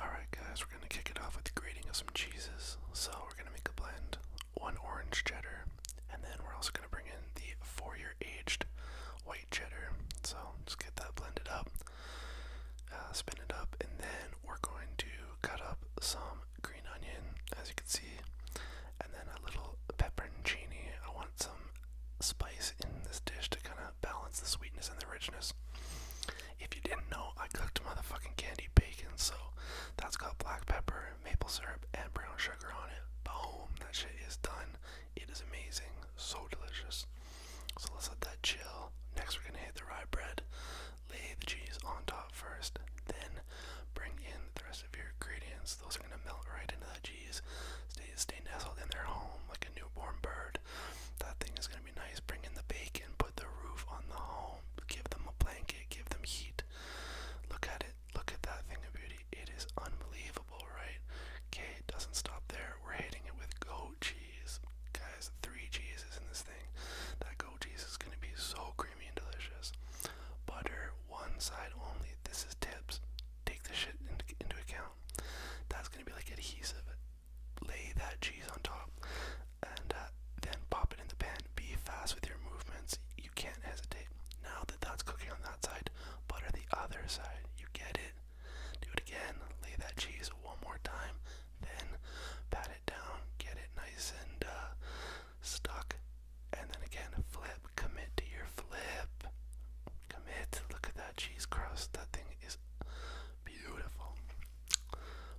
Alright, guys, we're going to kick it off with the grating of some cheeses. So, we're going to make a blend one orange cheddar, and then we're also going to bring in the four year aged white cheddar. So, just get that blended up, uh, spin it up, and then we're going to cut up some green onion, as you can see, and then a little pepperoncini. I want some spice in this dish to kind of balance the sweetness and the richness. If you didn't know, I cooked motherfucking candy bacon, so that's got black pepper, maple syrup, and brown sugar on it. Boom, that shit is done. It is amazing, so delicious. So let's let that chill. Next, we're gonna hit the rye bread, lay the cheese on top first, then bring in the rest of your ingredients. Those are gonna melt right into that refugees, stay, stay nestled in their home like a newborn bird. That thing is going to be nice. Bring in the bacon, put the roof on the home, give them a blanket, give them heat. Look at it. Look at that thing of beauty. It is unbelievable, right? Okay, it doesn't stop there. We're hitting it with goat cheese. Guys, three cheeses in this thing. That goat cheese is going to be so creamy and delicious. Butter, one side only. This is tips take this shit into, account. That's gonna be like adhesive. Lay that cheese on top, and uh, then pop it in the pan. Be fast with your movements. You can't hesitate. Now that that's cooking on that side, butter the other side. You get it. Do it again. Lay that cheese one more time. Then pat it down. Get it nice and uh, stuck. And then again, flip. Commit to your flip. Commit. Look at that cheese crust. That thing is beautiful.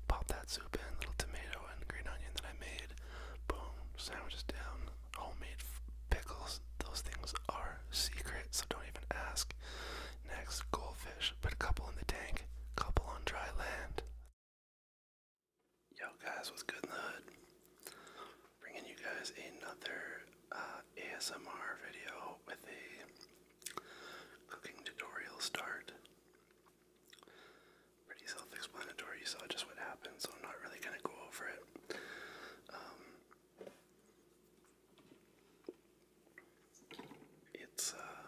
Pop that soup in, little tomato and green onion that I made. Boom. Sandwiches down. Homemade pickles. Those things are secret, so don't even ask. Next, goldfish. Put a couple in the tank, couple on dry land. Yo guys, what's good in the hood? Bringing you guys another uh, ASMR video with a cooking tutorial start. Pretty self-explanatory. You saw just what happened, so I'm not really going to go over it. Um, it's uh,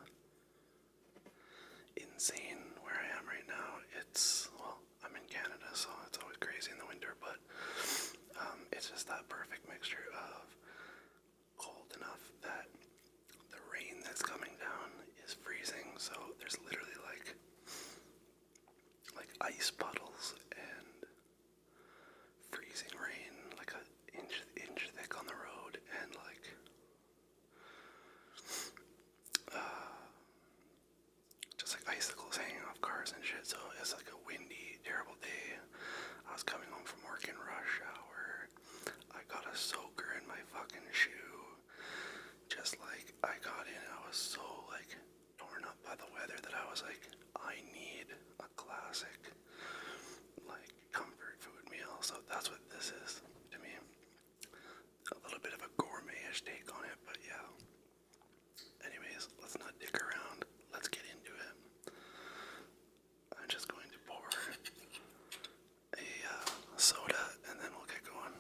insane where I am right now. It's well, I'm in Canada, so it's always crazy in the winter, but um, it's just that perfect mixture of cold enough that the rain that's coming down is freezing. So there's literally like like ice puddles and freezing rain, like an inch inch thick on the road, and like uh, just like icicles hanging off cars and shit. So it's like a windy terrible day. I was coming home from work in rush hour. I got a soaker in my fucking shoe. Just like I got in, I was so like torn up by the weather that I was like, I need a classic like comfort food meal. So that's what this is to me. A little bit of a gourmetish take on it, but yeah. Anyways, let's not dick around. Let's get into it. I'm just going to pour a uh, soda and then we'll get going.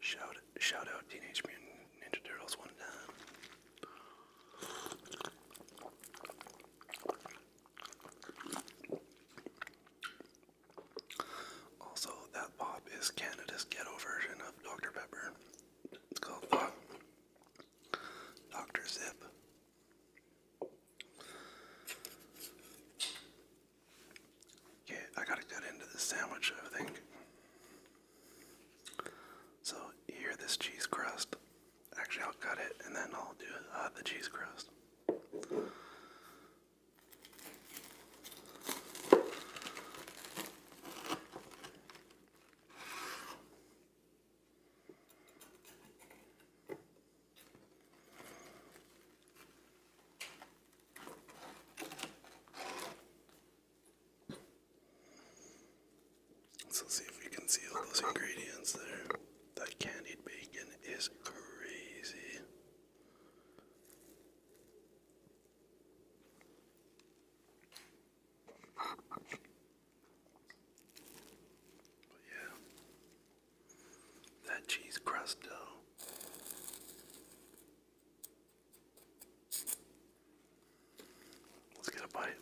Shout shout out Teenage Mutant Ninja Turtles one time. Also, that pop is Canada's ghetto version of Dr. Pepper. It's called Dr. Zip. Okay, I gotta cut into the sandwich, I think. So, here, this cheese crust. Actually, I'll cut it and then I'll do uh, the cheese crust. So see if we can see all those ingredients there. That candied bacon is crazy yeah, that cheese crust dough. Let's get a bite.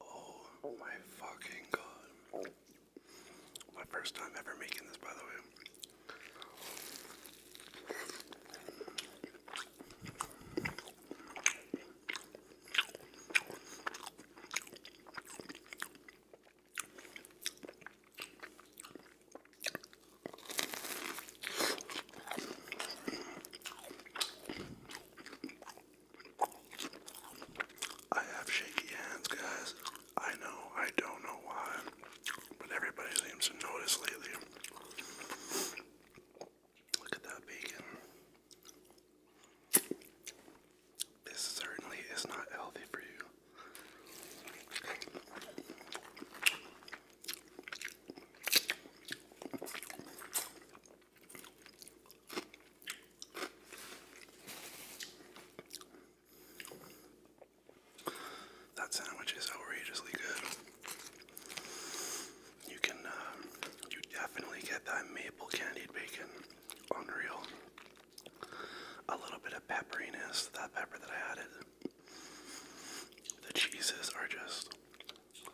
Oh my fucking god. My first time ever making this, by the way. I have shaky hands, guys. I know, I don't know why, but everybody seems to notice lately. Look at that bacon. This certainly is not healthy for you. That sandwich is outrageously good. You can, uh, you definitely get that maple candied bacon, unreal. A little bit of pepperiness, that pepper that I added. The cheeses are just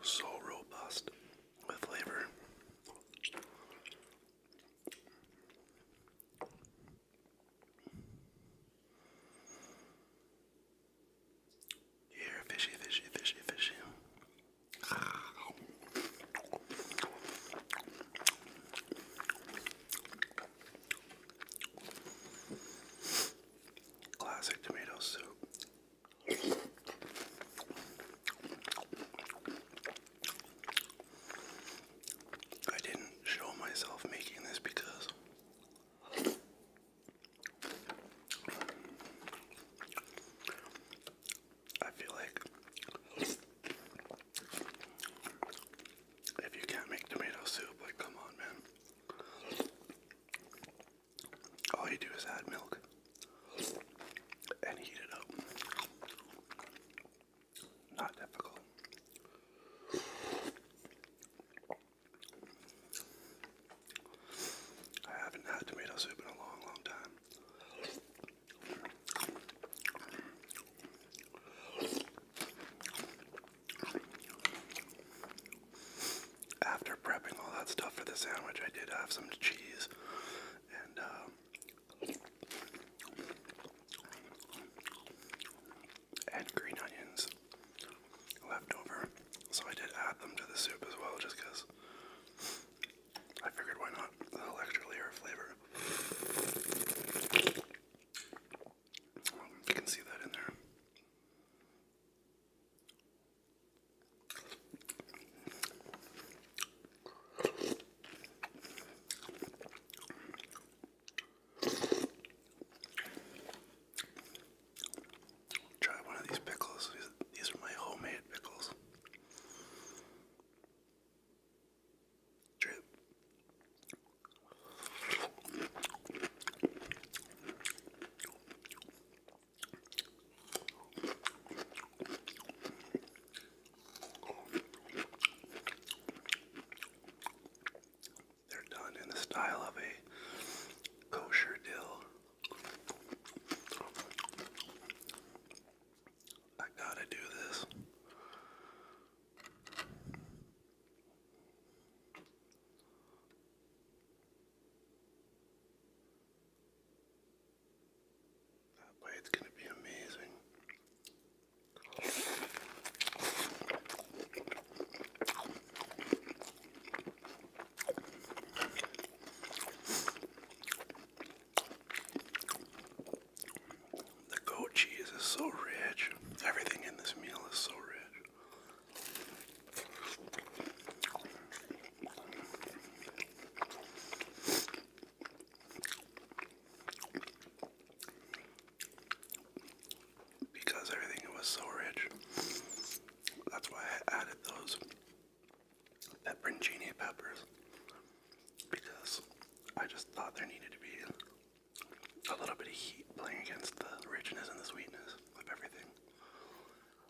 so robust with flavor. Here, fishy, fishy, fishy, fishy. Classic tomato soup. I didn't show myself making this because I feel like if you can't make tomato soup, like, come on, man all you do is add milk and heat it up. Not difficult. I haven't had tomato soup in a long, long time after prepping all that stuff for the sandwich, I did have some cheese and um, and green onions left over. So I did add them to the soup as well, just because I figured why not a little extra layer flavor. you can see that in there. Try one of these pickles. These are my homemade pickles. Drip. They're done in the style of a kosher dill. I gotta do this. That way going to be amazing. The goat cheese is so rich. Everything in this meal is so rich. Because everything was so rich, that's why I added those pepperoncini peppers. Because I just thought there needed to be a little bit of heat playing against the richness and the sweetness of everything.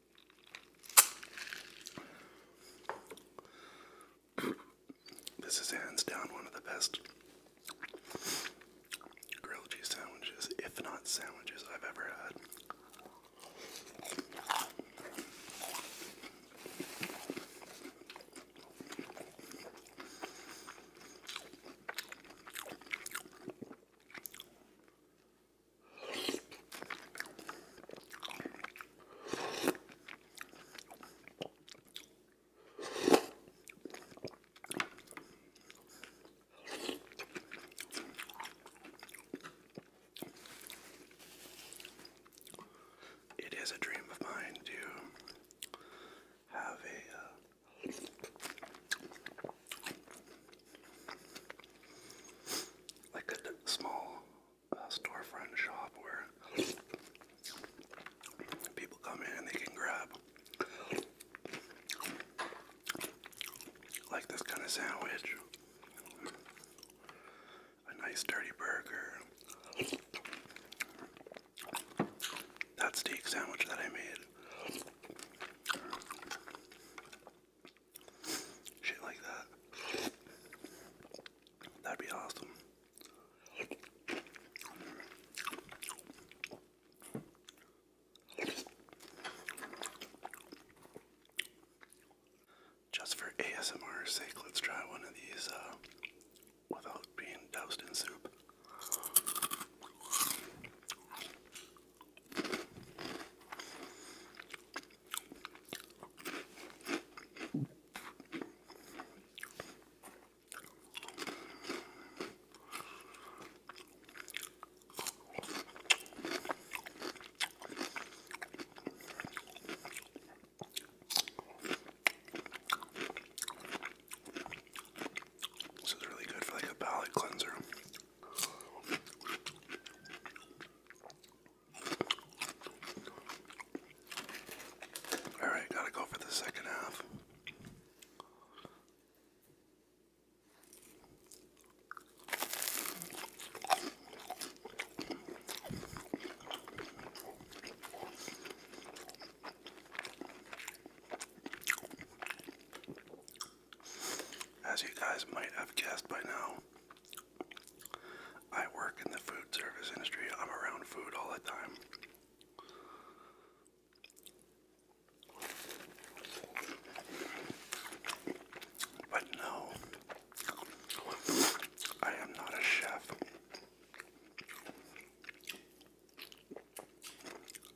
this is hands down one of the best grilled cheese sandwiches, if not sandwiches, I've ever had. It is a dream of mine to have a uh, like a small uh, storefront shop where people come in and they can grab like this kind of sandwich, a nice dirty burger. That's the sandwich that I made Shit like that. That'd be awesome. Just for ASMR sake, let's try one of these uh, without being doused in soup. This is really good for like a palate cleanser. All right, gotta go for the second half. As you guys might have guessed by now, I work in the food service industry. I'm around food all the time. But no, I am not a chef.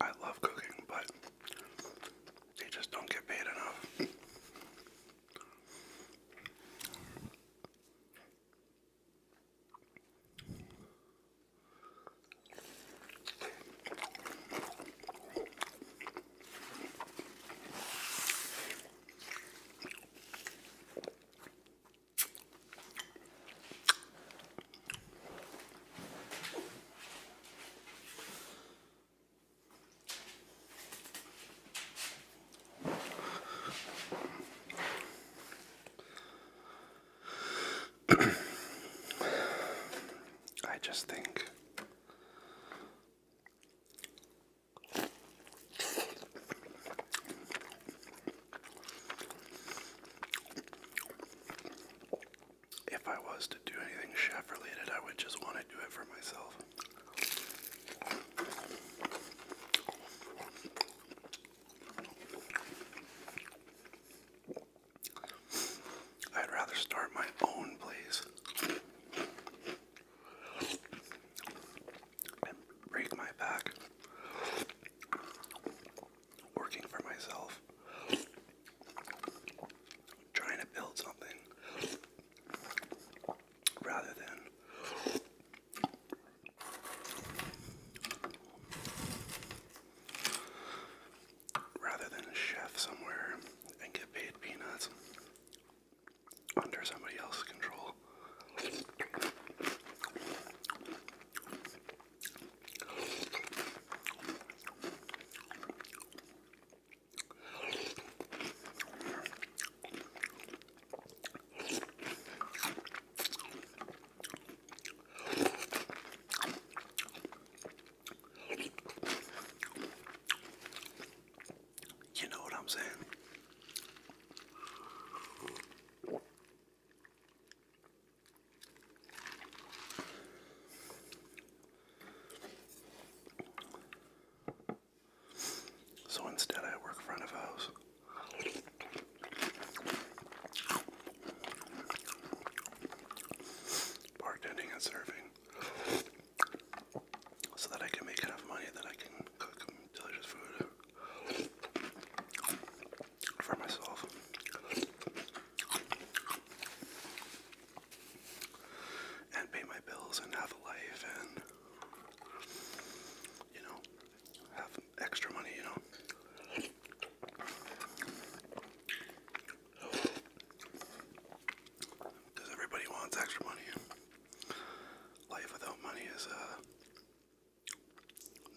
I love cooking, but they just don't get paid enough. I just think if I was to do anything chef related, I would just want to do it for myself. I'd rather start my own place and break my back working for myself trying to build something rather than rather than a chef somewhere and get paid peanuts under somebody else's control. You know what I'm saying? So instead, I work front of house. Bartending and serving. So that I can make enough money that I can cook delicious food for myself and pay my bills and have a life and you know have extra money, you know. Because everybody wants extra money. Life without money is uh,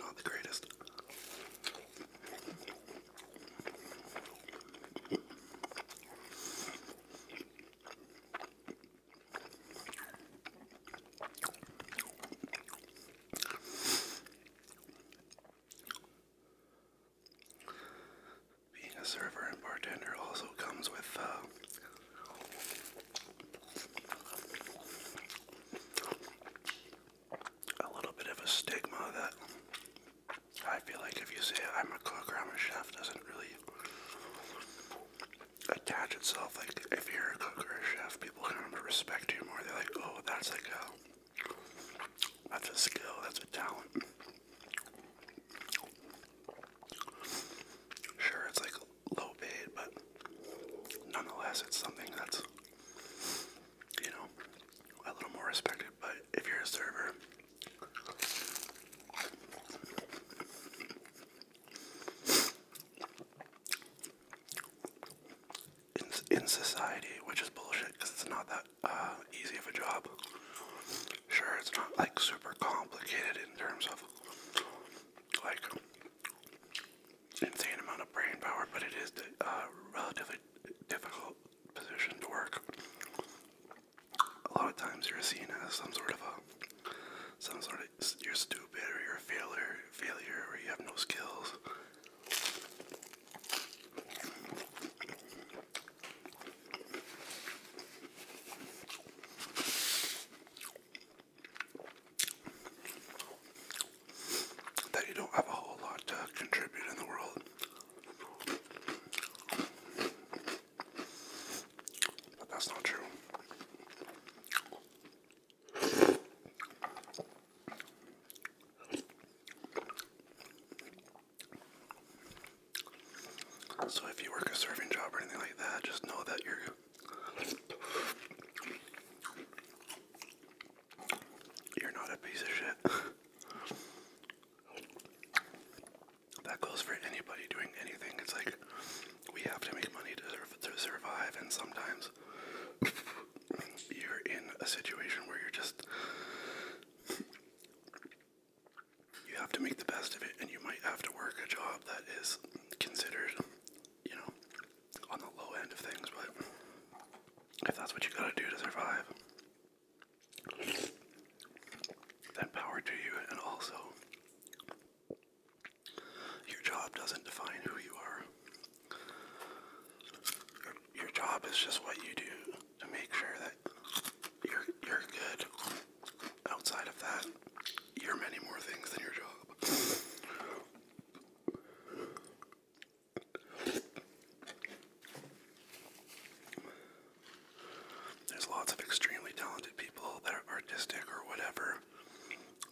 not the greatest. Being a server and bartender also comes with uh, a little bit of a stigma that I feel like if you say I'm a cook or I'm a chef, doesn't really attach itself. Like if you're a cook or a chef, people kind of respect you more. They're like, oh, that's like a that's a skill, that's a talent. Sure, it's like low paid, but nonetheless, it's something that's you know a little more respected. But if you're a server. In, society, which is bullshit because it's not that uh, easy of a job. Sure, it's not like super complicated in terms of like insane amount of brain power, but it is a uh, relatively difficult position to work a lot of times you're seen as some sort of a, some sort of you're stupid or you're a failure, failure or you have no skills. That you don't have a whole lot to contribute in the world. But that's not true. So if you work a serving job or anything like that, just know that you're you're not a piece of shit that goes for anybody doing anything. It's like we have to make money to, to survive, and sometimes you're in a situation where you're just. You have to make the best of it, and you might have to work a job that is considered, you know, on the low end of things, but if that's what you gotta do to survive, that power to you, and also your job doesn't define who you are. Your job is just what you do to make sure that you're you're good. Outside of that, you're many more things than your job. There's lots of extremely talented people that are artistic or whatever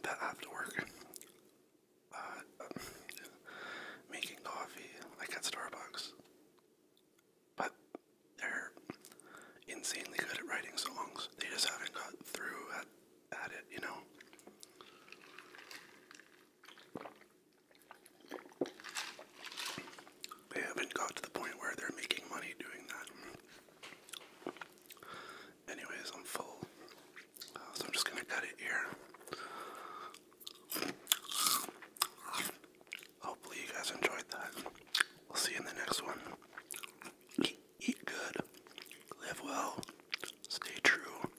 that have to work uh, making coffee, like at Starbucks. But they're insanely good at writing songs. They just haven't got through at, at it, you know? They haven't got to the point where they're making money doing that. Anyways, I'm full, uh, so I'm just gonna cut it here. Hopefully, you guys enjoyed that. We'll see you in the next one. eat good, live well, stay true.